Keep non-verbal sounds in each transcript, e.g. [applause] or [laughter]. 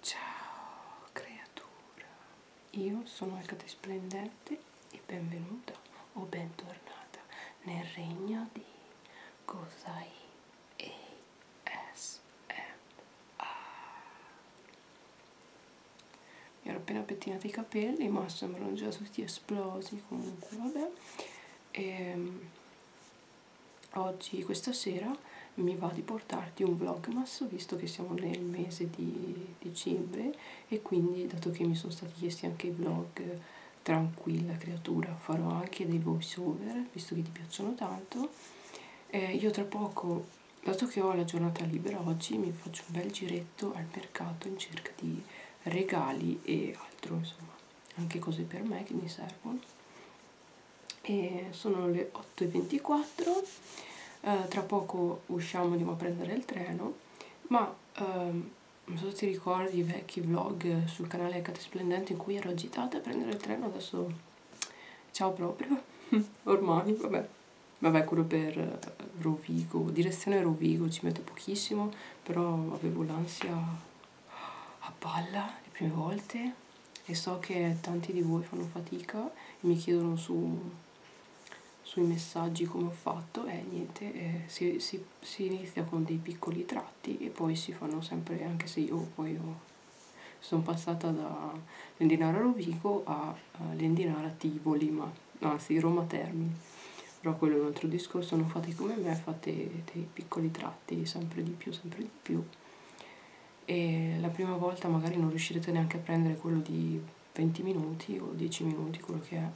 Ciao creatura, io sono Alcate Splendente e benvenuta o bentornata nel regno di Gosai ASMR. Mi ero appena pettinato i capelli, ma sembrano già tutti esplosi comunque, vabbè. E, ehm, oggi, questa sera, mi va di portarti un vlogmas visto che siamo nel mese di dicembre e quindi dato che mi sono stati chiesti anche i vlog tranquilla creatura farò anche dei voice over visto che ti piacciono tanto eh, io tra poco dato che ho la giornata libera oggi mi faccio un bel giretto al mercato in cerca di regali e altro insomma anche cose per me che mi servono e sono le 8.24 eh, tra poco usciamo andiamo a prendere il treno ma ehm, non so se ti ricordi i vecchi vlog sul canale Cate Splendente in cui ero agitata a prendere il treno adesso ciao proprio [laughs] ormai vabbè vabbè quello per eh, Rovigo direzione Rovigo ci metto pochissimo però avevo l'ansia a palla le prime volte e so che tanti di voi fanno fatica e mi chiedono su, sui messaggi come ho fatto e niente, eh, si, si, si inizia con dei piccoli tratti e poi si fanno sempre, anche se io poi ho, sono passata da Lendinara Rovigo a Lendinara Tivoli, ma anzi Roma Termini però quello è un altro discorso, non fate come me, fate dei piccoli tratti fatti sempre di più, sempre di più e la prima volta magari non riuscirete neanche a prendere quello di 20 minuti o 10 minuti, quello che è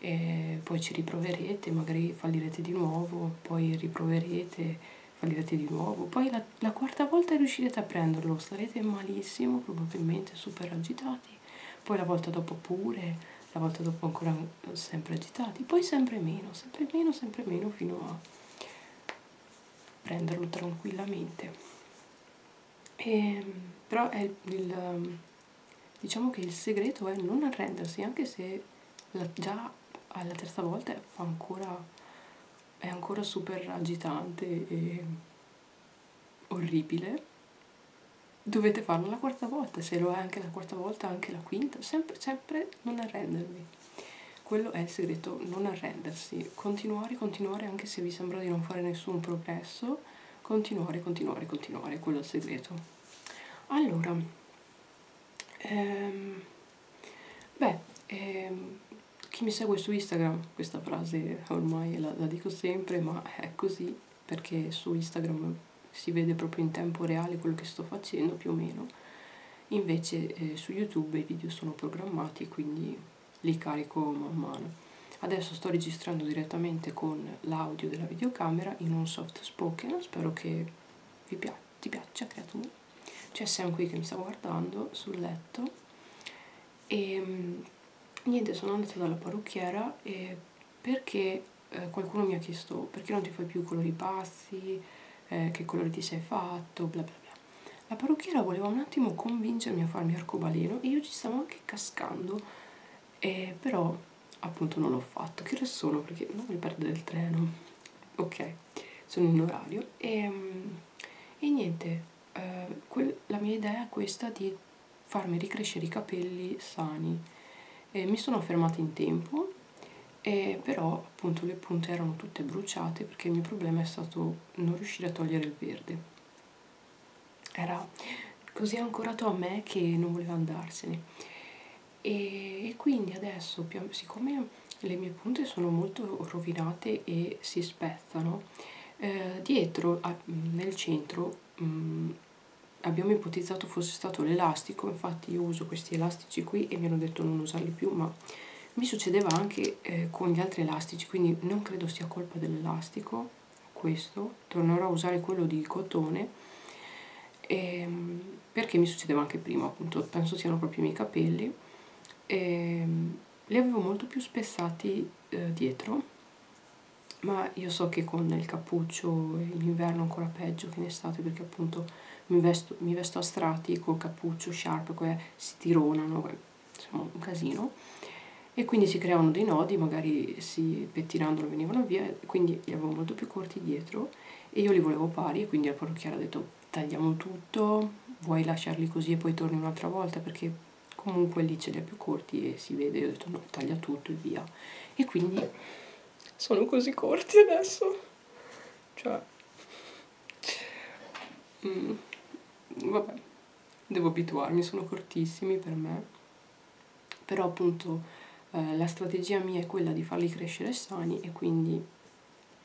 e poi ci riproverete, magari fallirete di nuovo, poi riproverete, fallirete di nuovo, poi la, la quarta volta riuscirete a prenderlo, starete malissimo, probabilmente super agitati, poi la volta dopo pure la volta dopo ancora sempre agitati, poi sempre meno, sempre meno, sempre meno fino a prenderlo tranquillamente. E, ehm, però è il, il, diciamo che il segreto è non arrendersi, anche se la, già alla terza volta fa ancora, è ancora super agitante e orribile dovete farlo la quarta volta, se lo è anche la quarta volta, anche la quinta, sempre, sempre non arrendervi. Quello è il segreto, non arrendersi, continuare, continuare anche se vi sembra di non fare nessun progresso, continuare, continuare, continuare, quello è il segreto. Allora, ehm, beh, ehm, chi mi segue su Instagram, questa frase ormai la, la dico sempre, ma è così, perché su Instagram si vede proprio in tempo reale quello che sto facendo più o meno invece eh, su YouTube i video sono programmati quindi li carico man mano adesso sto registrando direttamente con l'audio della videocamera in un soft spoken spero che vi pia ti piaccia creatura c'è Sam qui che mi sta guardando sul letto e ehm, niente sono andata dalla parrucchiera e eh, perché eh, qualcuno mi ha chiesto perché non ti fai più colori pazzi, eh, che colori ti sei fatto, bla bla bla. La parrucchiera voleva un attimo convincermi a farmi arcobaleno e io ci stavo anche cascando, eh, però appunto non l'ho fatto. Che ore sono? Perché non voglio perdere il treno. Ok, sono in orario e, ehm, e niente, eh, la mia idea è questa di farmi ricrescere i capelli sani eh, mi sono fermata in tempo eh, però appunto le punte erano tutte bruciate perché il mio problema è stato non riuscire a togliere il verde era così ancorato a me che non voleva andarsene e, e quindi adesso più, siccome le mie punte sono molto rovinate e si spezzano eh, dietro a, nel centro mh, mm, abbiamo ipotizzato fosse stato l'elastico infatti io uso questi elastici qui e mi hanno detto non usarli più ma mi succedeva anche eh, con gli altri elastici quindi non credo sia colpa dell'elastico questo tornerò a usare quello di cotone e, ehm, perché mi succedeva anche prima appunto penso siano proprio i miei capelli e, ehm, li avevo molto più spessati eh, dietro ma io so che con il cappuccio in inverno ancora peggio che in estate perché appunto mi vesto, mi vesto a strati col cappuccio sharp che si tironano insomma un casino e quindi si creavano dei nodi magari si pettinandolo venivano via quindi li avevo molto più corti dietro e io li volevo pari e quindi la parrucchiera ha detto tagliamo tutto vuoi lasciarli così e poi torni un'altra volta perché comunque lì ce li ha più corti e si vede io ho detto no taglia tutto e via e quindi sono così corti adesso. Cioè... Mm, vabbè, devo abituarmi, sono cortissimi per me. Però appunto eh, la strategia mia è quella di farli crescere sani e quindi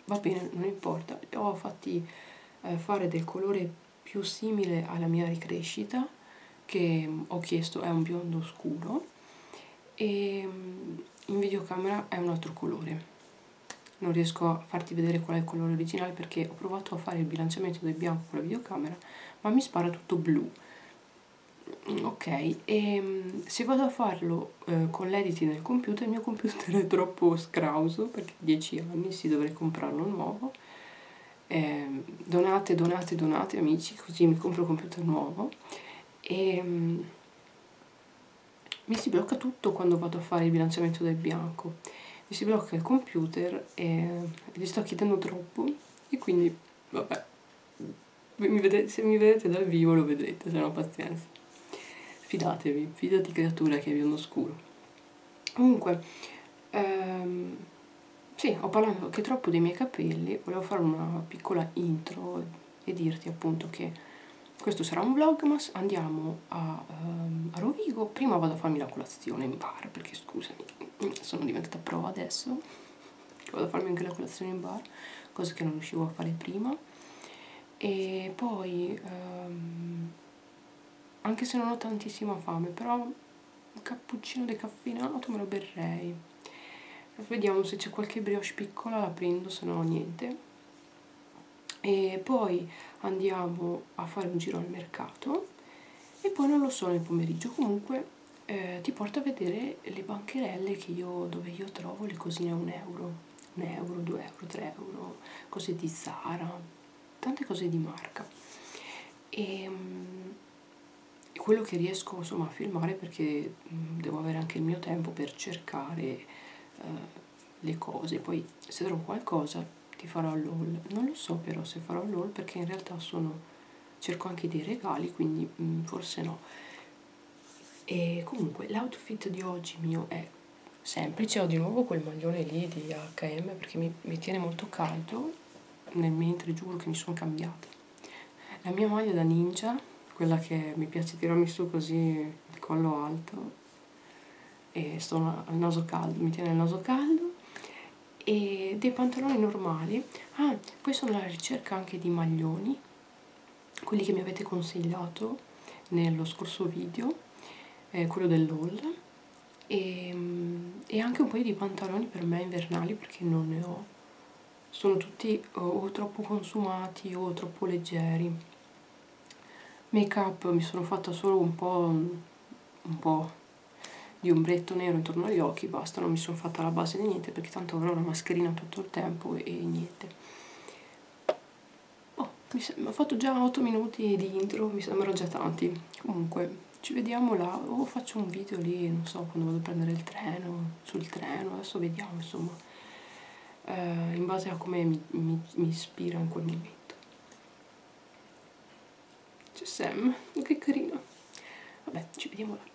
va bene, non importa. Li ho fatti eh, fare del colore più simile alla mia ricrescita che mm, ho chiesto è un biondo scuro e mm, in videocamera è un altro colore non riesco a farti vedere qual è il colore originale perché ho provato a fare il bilanciamento del bianco con la videocamera ma mi spara tutto blu mm, ok e se vado a farlo eh, con l'editing del computer il mio computer è troppo scrauso perché 10 anni si dovrei comprarlo nuovo eh, donate, donate, donate amici, così mi compro un computer nuovo e mm, mi si blocca tutto quando vado a fare il bilanciamento del bianco, mi si blocca il computer e gli sto chiedendo troppo e quindi vabbè, mi vedete, se mi vedete dal vivo lo vedrete, se no pazienza. Fidatevi, fidati creatura che è biondo scuro. Comunque, ehm, sì, ho parlato anche troppo dei miei capelli, volevo fare una piccola intro e dirti appunto che questo sarà un vlogmas, andiamo a, um, a Rovigo, prima vado a farmi la colazione in bar, perché scusami, [clears throat] sono diventata prova adesso, vado a farmi anche la colazione in bar, cosa che non riuscivo a fare prima, e poi um, anche se non ho tantissima fame, però un cappuccino decaffeinato me lo berrei vediamo se c'è qualche brioche piccola la prendo se no niente e poi andiamo a fare un giro al mercato e poi non lo so nel pomeriggio comunque eh, ti porto a vedere le bancherelle che io, dove io trovo le cosine a un euro un euro, due euro, tre euro cose di Zara tante cose di marca e ehm, quello che riesco insomma, a filmare perché mm, devo avere anche il mio tempo per cercare eh, le cose. Poi se trovo qualcosa ti farò l'haul. Non lo so però se farò l'haul perché in realtà sono cerco anche dei regali, quindi mh, mm, forse no. E comunque l'outfit di oggi mio è semplice, ho di nuovo quel maglione lì di H&M perché mi, mi tiene molto caldo nel mentre giuro che mi sono cambiata la mia maglia da ninja quella che mi piace tirarmi su così di collo alto e sto al naso caldo mi tiene il naso caldo e dei pantaloni normali ah poi sono alla ricerca anche di maglioni quelli che mi avete consigliato nello scorso video eh, quello dell'haul e, ehm, e anche un paio di pantaloni per me invernali perché non ne ho sono tutti o, eh, o troppo consumati o troppo leggeri make up mi sono fatta solo un po' un po' di ombretto nero intorno agli occhi basta non mi sono fatta la base di niente perché tanto avrò una mascherina tutto il tempo e, e niente oh, mi ho fatto già 8 minuti di intro, mi sembrano già tanti. Comunque, ci vediamo là o faccio un video lì non so quando vado a prendere il treno sul treno adesso vediamo insomma eh, in base a come mi, mi, mi ispira in quel momento c'è Sam oh, che carino vabbè ci vediamo là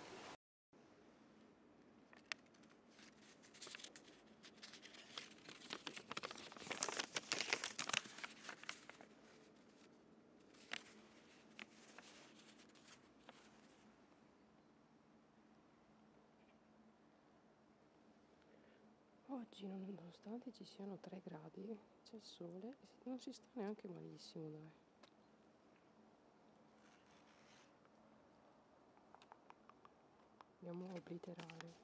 Oggi, nonostante ci siano 3 gradi, c'è il sole e non si sta neanche malissimo, dai. Andiamo a obliterare.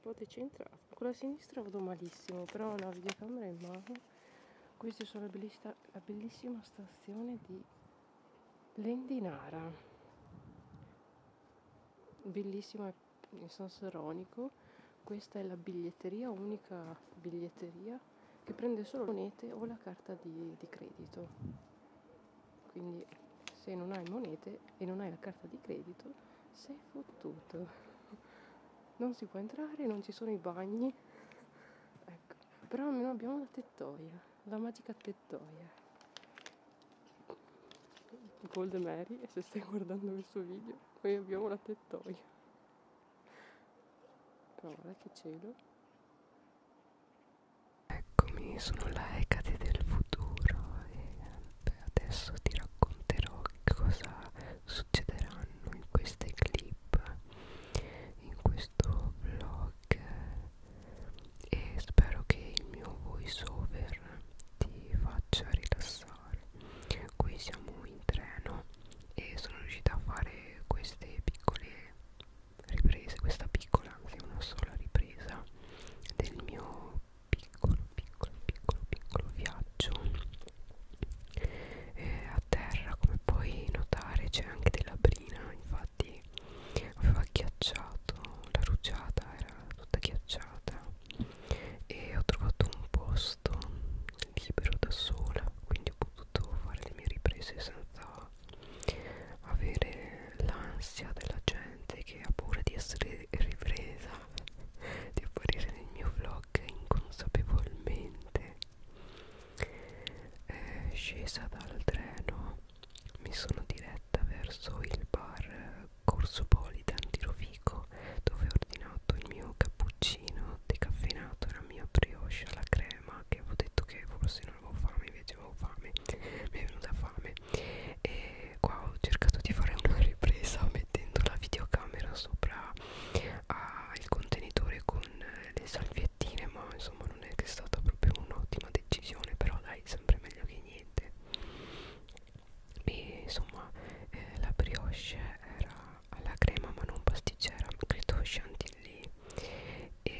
Poteci entrare. Con la sinistra vado malissimo, però ho la videocamera in mano. Questa è la bellissima, la bellissima stazione di Lendinara. Bellissima in senso ironico. Questa è la biglietteria, unica biglietteria che prende solo monete o la carta di, di credito quindi se non hai monete e non hai la carta di credito sei fottuto non si può entrare non ci sono i bagni ecco però almeno abbiamo la tettoia la magica tettoia Gold Mary e se stai guardando questo video noi abbiamo la tettoia però guarda che cielo Eccomi, sono la Ecate del futuro e adesso ti racconterò cosa succederanno in queste clip, in questo vlog e spero che il mio voice over ti faccia rilassare. Qui siamo in treno e sono riuscita a fare queste piccole riprese, questa piccola, anzi una sola ripresa del mio piccolo piccolo piccolo piccolo viaggio eh, a terra come puoi notare c'è anche della brina infatti aveva ghiacciato la rugiada era tutta ghiacciata e ho trovato un posto libero da sola quindi ho potuto fare le mie riprese senza avere l'ansia della gente che ha paura di essere ripresa di apparire nel mio vlog inconsapevolmente eh, scesa dal treno mi sono diretta verso il bar Corso Politan di Rovico dove ho ordinato il mio cappuccino decaffeinato e la mia brioche alla crema che avevo detto che forse non avevo fame invece avevo fame mi è venuta fame e qua ho cercato di fare una ripresa mettendo la videocamera sopra ah, il contenitore con le salviettine ma insomma non è che è stata proprio un'ottima decisione però dai sempre meglio che niente e insomma eh, la brioche era alla crema ma non pasticcera credo chantilly e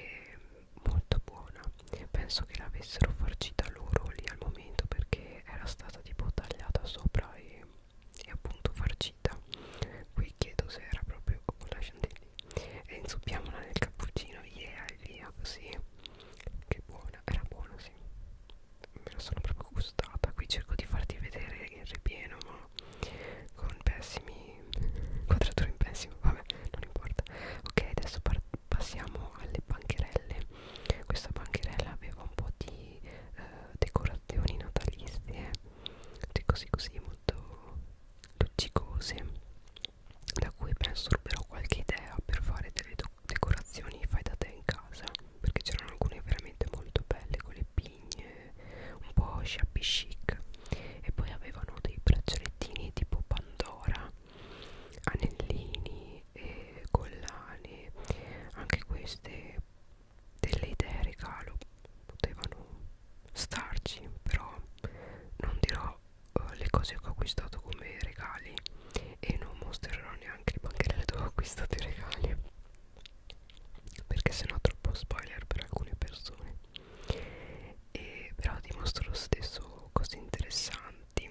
molto buona penso che l'avessero farcita loro lì al momento perché era stata tipo tagliata sopra e, e appunto farcita qui chiedo se era proprio con la chantilly e inzuppiamola nel cappuccino yeah e via così che buona era buona sì me la sono proprio gustata qui cerco di farti vedere il ripieno ma con pessimi quadrature in pessimo vabbè non importa ok adesso passiamo alle bancherelle questa bancherella aveva un po' di eh, decorazioni natalizie così così molto luccicose da cui penso però qualche idea per fare delle decorazioni fai da te in casa perché c'erano alcune veramente molto belle con le pigne un po' shabby chic e poi avevano dei braccialettini tipo Pandora anellini e collane anche queste delle idee regalo potevano starci però non dirò uh, le cose che ho acquistato come regali e non mostrerò neanche le bancherelle dove ho acquistato i regali perché sennò troppo spoiler per alcune persone e però dimostra lo stesso cose interessanti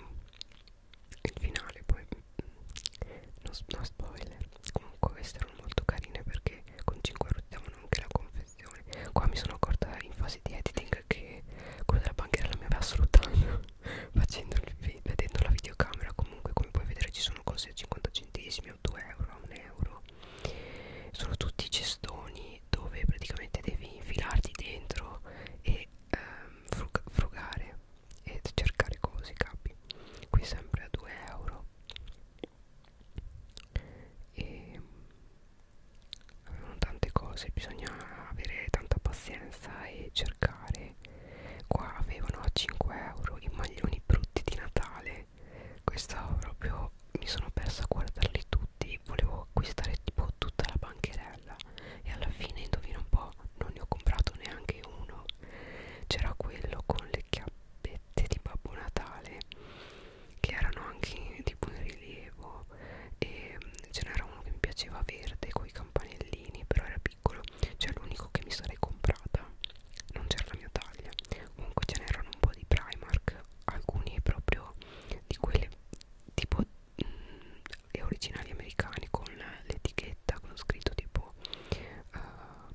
il finale poi mm, non no spoiler comunque queste erano molto carine perché con 5 euro davano anche la confezione qua mi sono accorta in fase di editing che quello della banchiera la mi aveva assolutamente [laughs] facendo vedendo la videocamera comunque come puoi vedere ci sono cose a 50 centesimi o 2 euro a 1 euro sono tutti cestoni mini dove praticamente devi infilarti dentro e ehm, frugare e cercare cose capi qui sempre a 2 euro e mm, avevano tante cose bisogna avere tanta pazienza e cercare qua avevano a 5 euro i maglioni brutti di Natale questo proprio mi sono persa a guardarli tutti volevo acquistare tipo tutta la bancherella e alla fine indovina un po' non ne ho comprato neanche uno c'era quello con le chiappette di Babbo Natale che erano anche tipo in rilievo e mm, ce n'era uno che mi piaceva verde con i campanellini però era piccolo cioè l'unico che mi sarei comprata non c'era la mia taglia comunque ce n'erano un po' di Primark alcuni proprio di quelle tipo mh, mm, gli originali americani con l'etichetta con scritto tipo uh,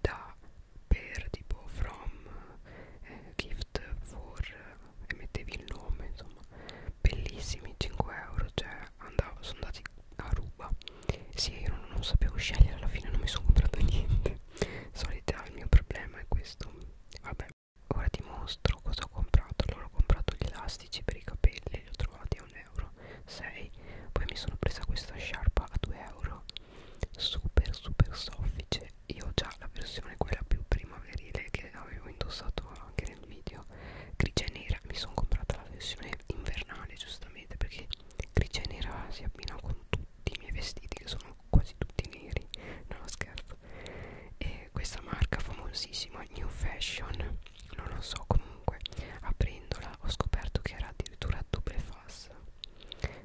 da per tipo from eh, gift for eh, e mettevi il nome insomma bellissimi 5 euro cioè andavo, sono andati a ruba sì io non, non sapevo scegliere alla fine non mi sono comprato [laughs] niente solita il mio problema è questo vabbè vabbè ora ti mostro cosa ho comprato allora ho comprato gli elastici per i capelli li ho trovati a 1 euro 6 poi mi sono presa questa sciarpa a 2 euro super super soffice io ho già la versione quella più primaverile che avevo indossato anche nel video grigia e nera mi sono comprata la versione invernale giustamente perché grigia e nera si abbina con tutto dei miei vestiti che sono quasi tutti neri non scherzo e questa marca famosissima New Fashion non lo so comunque aprendola ho scoperto che era addirittura double fast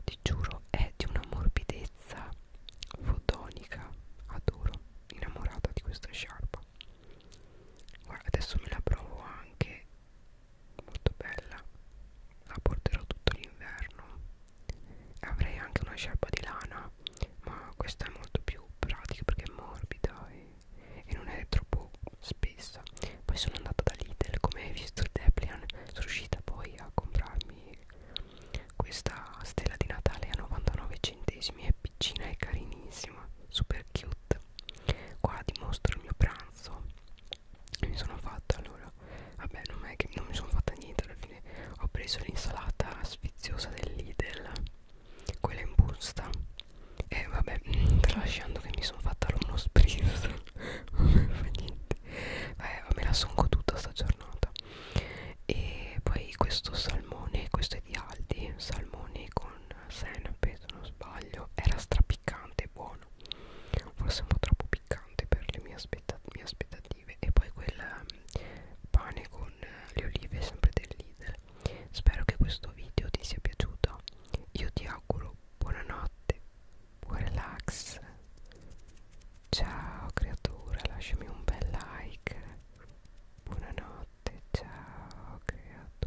ti giuro è di una morbidezza fotonica adoro innamorata di questa sciarpa guarda adesso me la provo anche molto bella la porterò tutto l'inverno avrei anche una sciarpa di lana ma questa è molto più pratica perché è morbida e, e non è troppo spessa poi sono andata da Lidl come hai visto il Deplian sono riuscita poi a comprarmi questa stella di Natale a 99 centesimi è piccina e carinissima super cute qua dimostro il mio pranzo mi sono fatta allora vabbè non è che non mi sono fatta niente alla fine ho preso l'insalata sfiziosa del Lidl quella in busta e vabbè mm, tralasciando che mi sono fatta uno spritz [laughs] non fa niente vabbè me la sono goduta sta giornata e poi questo salmone questo è di Aldi salmone con senape se non sbaglio era strapiccante e buono forse un po' troppo piccante per le mie aspettative aspetta olive e poi quel ehm, pane con eh, le olive sempre del Lidl spero che questo video ti sia piaciuto io ti auguro buonanotte buon relax ciao creatura lasciami un bel like buonanotte ciao creatura